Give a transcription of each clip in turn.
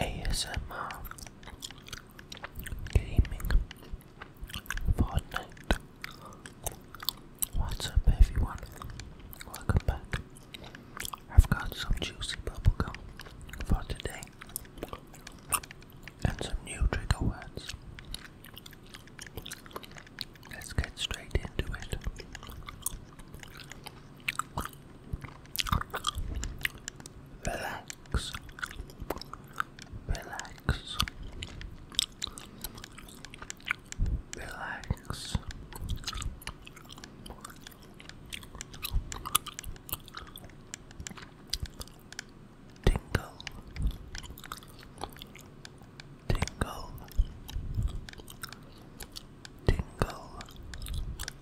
ASMR Gaming Fortnite What's up everyone? Welcome back. I've got some juicy bubblegum for today and some new trigger words. Let's get straight into it. Relax. Relax. Relax. Tingle. Tingle. Tingle.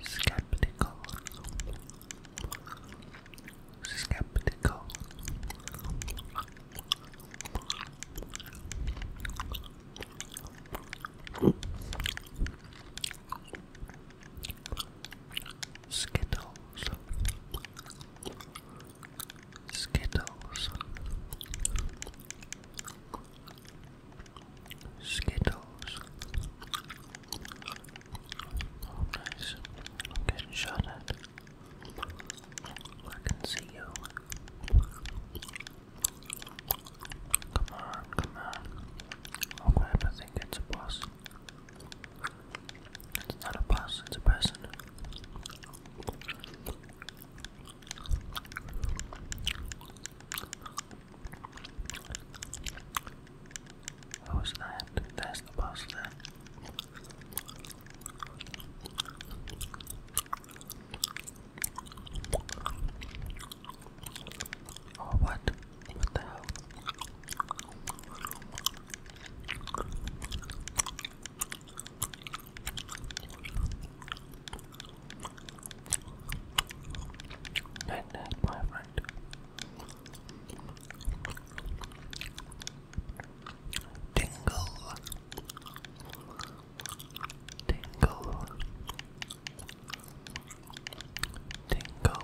skeptical, skeptical. Skittles, Skittles, Skittles. Oh, nice. I'm getting shot at. I can see you. Come on, come on. Oh crap, think it's a boss. It's not a boss, it's a person was that? That's the boss then. Oh, what? What the hell? Night uh, night, my friend. Tingle. Tingle. Tingle.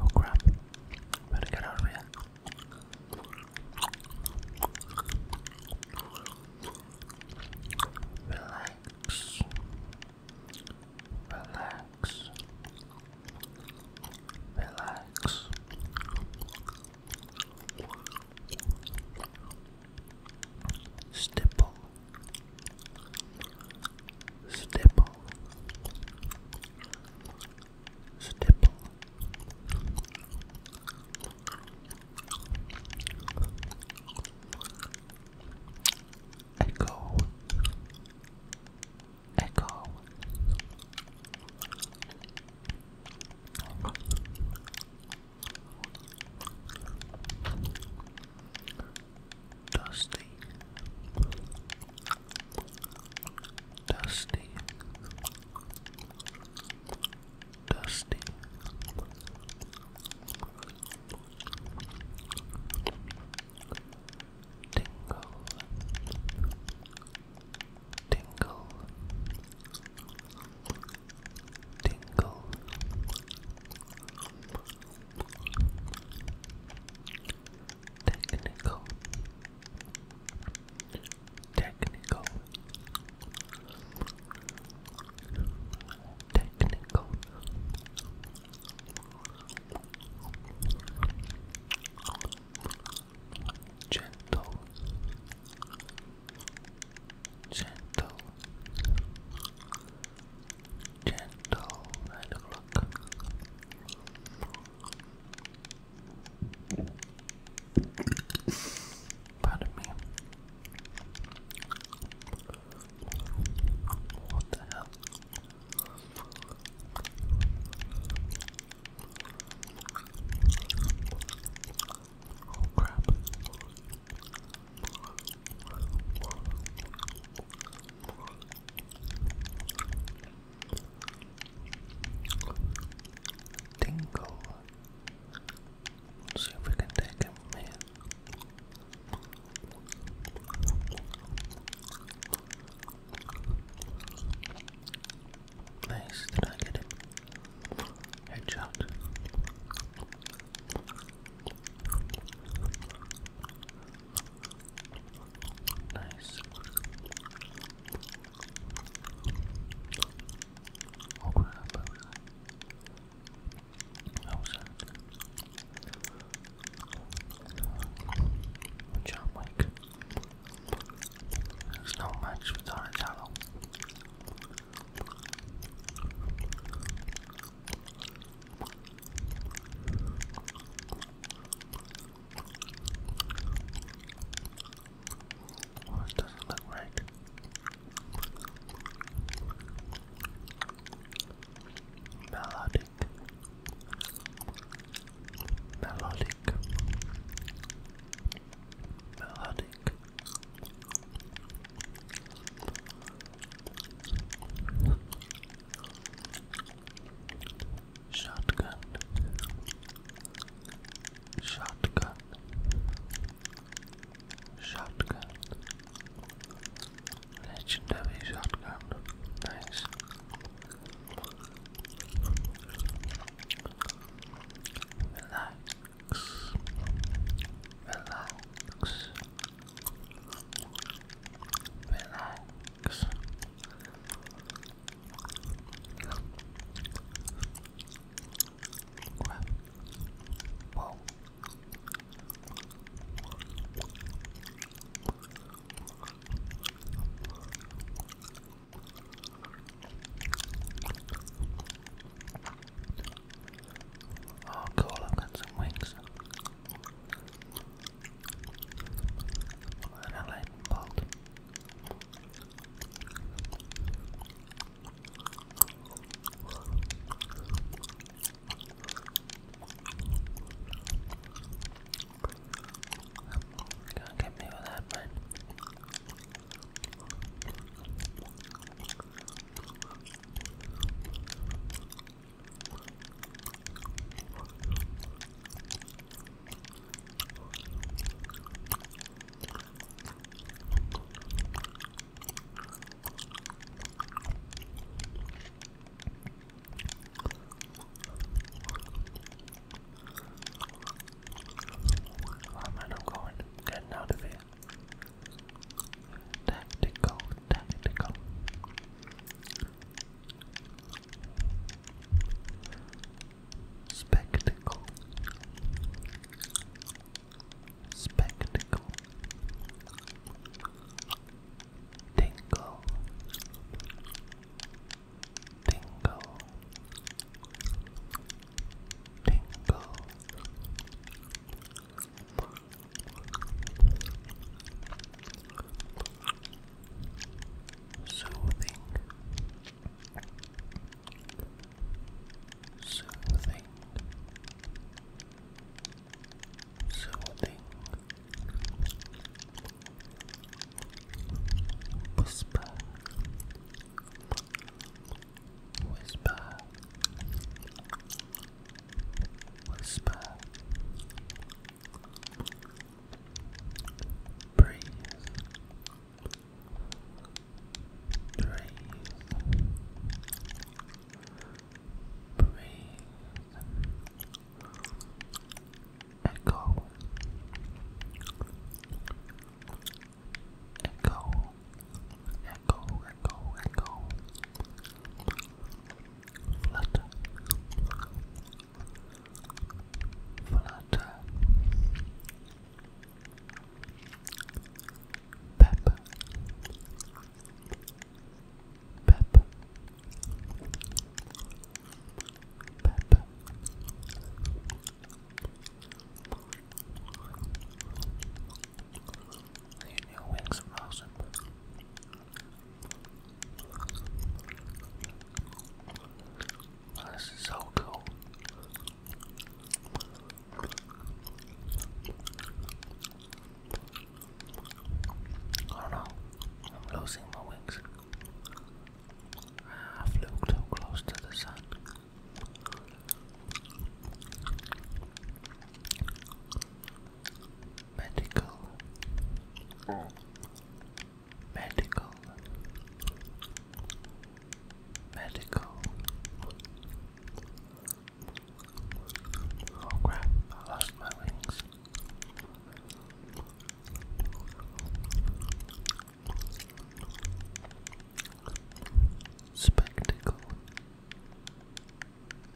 Oh crap. Better get out of here. Relax. Relax. Relax. Stipple. Stipple. Stipple. Echo, echo. Dusty, Dusty, Dusty, Tingle, Tingle, Tingle. Technical, Technical. Technical. Gentle. Gentle. Gentle and rock. Pardon me. What the hell? Oh crap. Dingle. see if we can take him from Nice, did I Headshot. Nice. Oh crap, I was that? How was that? Good job, Mike. There's no match it doesn't look right. Melodic. Melodic. Melodic. Shotgun. Shotgun. Shotgun. Legendary shotgun. Nice. Relax. Relax. Relax relax. Whoa. Oh cool, I've got some wings and a lightning bolt. not get me with that, man. I'm not going, Get out of here. Tactical, tactical. Spectacle. Spectacle. Tingle. Tingle. Tingle. Soothing, soothing, soothing, whisper, whisper, Whisper. Breathe. Breathe. Breathe. Echo. Echo. Echo. Go. echo. Flutter, flutter. Pepper, pepper, pepper. The wings from Awesome. this is so cool. Oh no, I'm losing my wings. Ah, I flew too close to the sun. Medical. Oh. Medical. Medical. Oh crap, I lost my wings. Spectacle.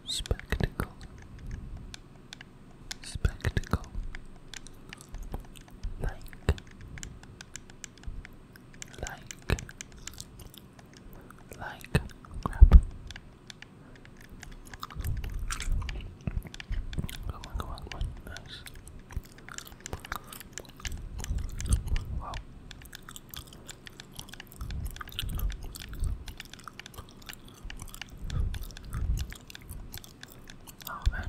Spectacle, spectacle, like, like, like, crap. Come on, come on, come on, nice. Wow. Oh man.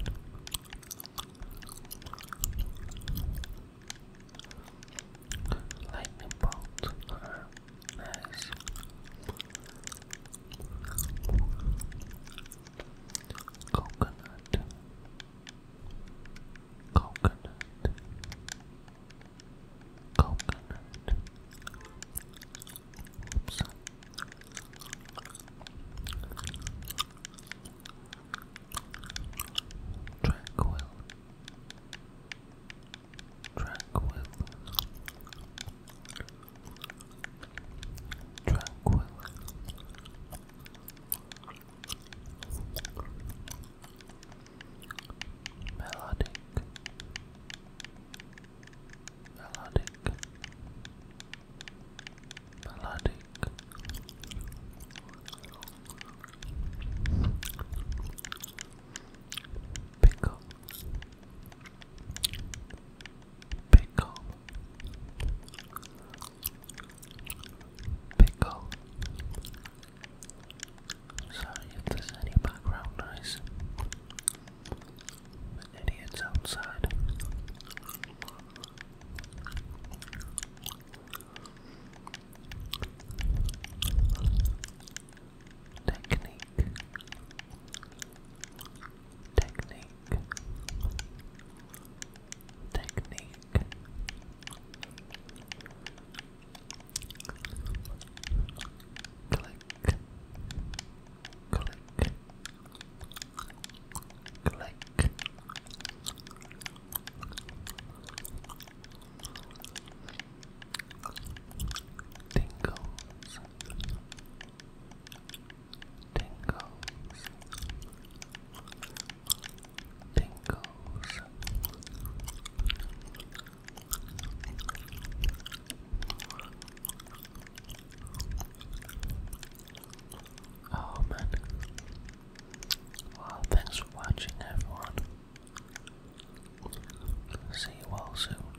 Lightning bolt. nice. Coconut coconut, coconut, tranquil, tranquil, tranquil. Melodic, melodic, melodic. Pickle, pickle, Pickle. Sorry if there's any background noise. Idiots outside. Technique. Technique. Technique click, click, click. Tingles, tingles, Oh man. Well, thanks for watching, everyone. See you all soon.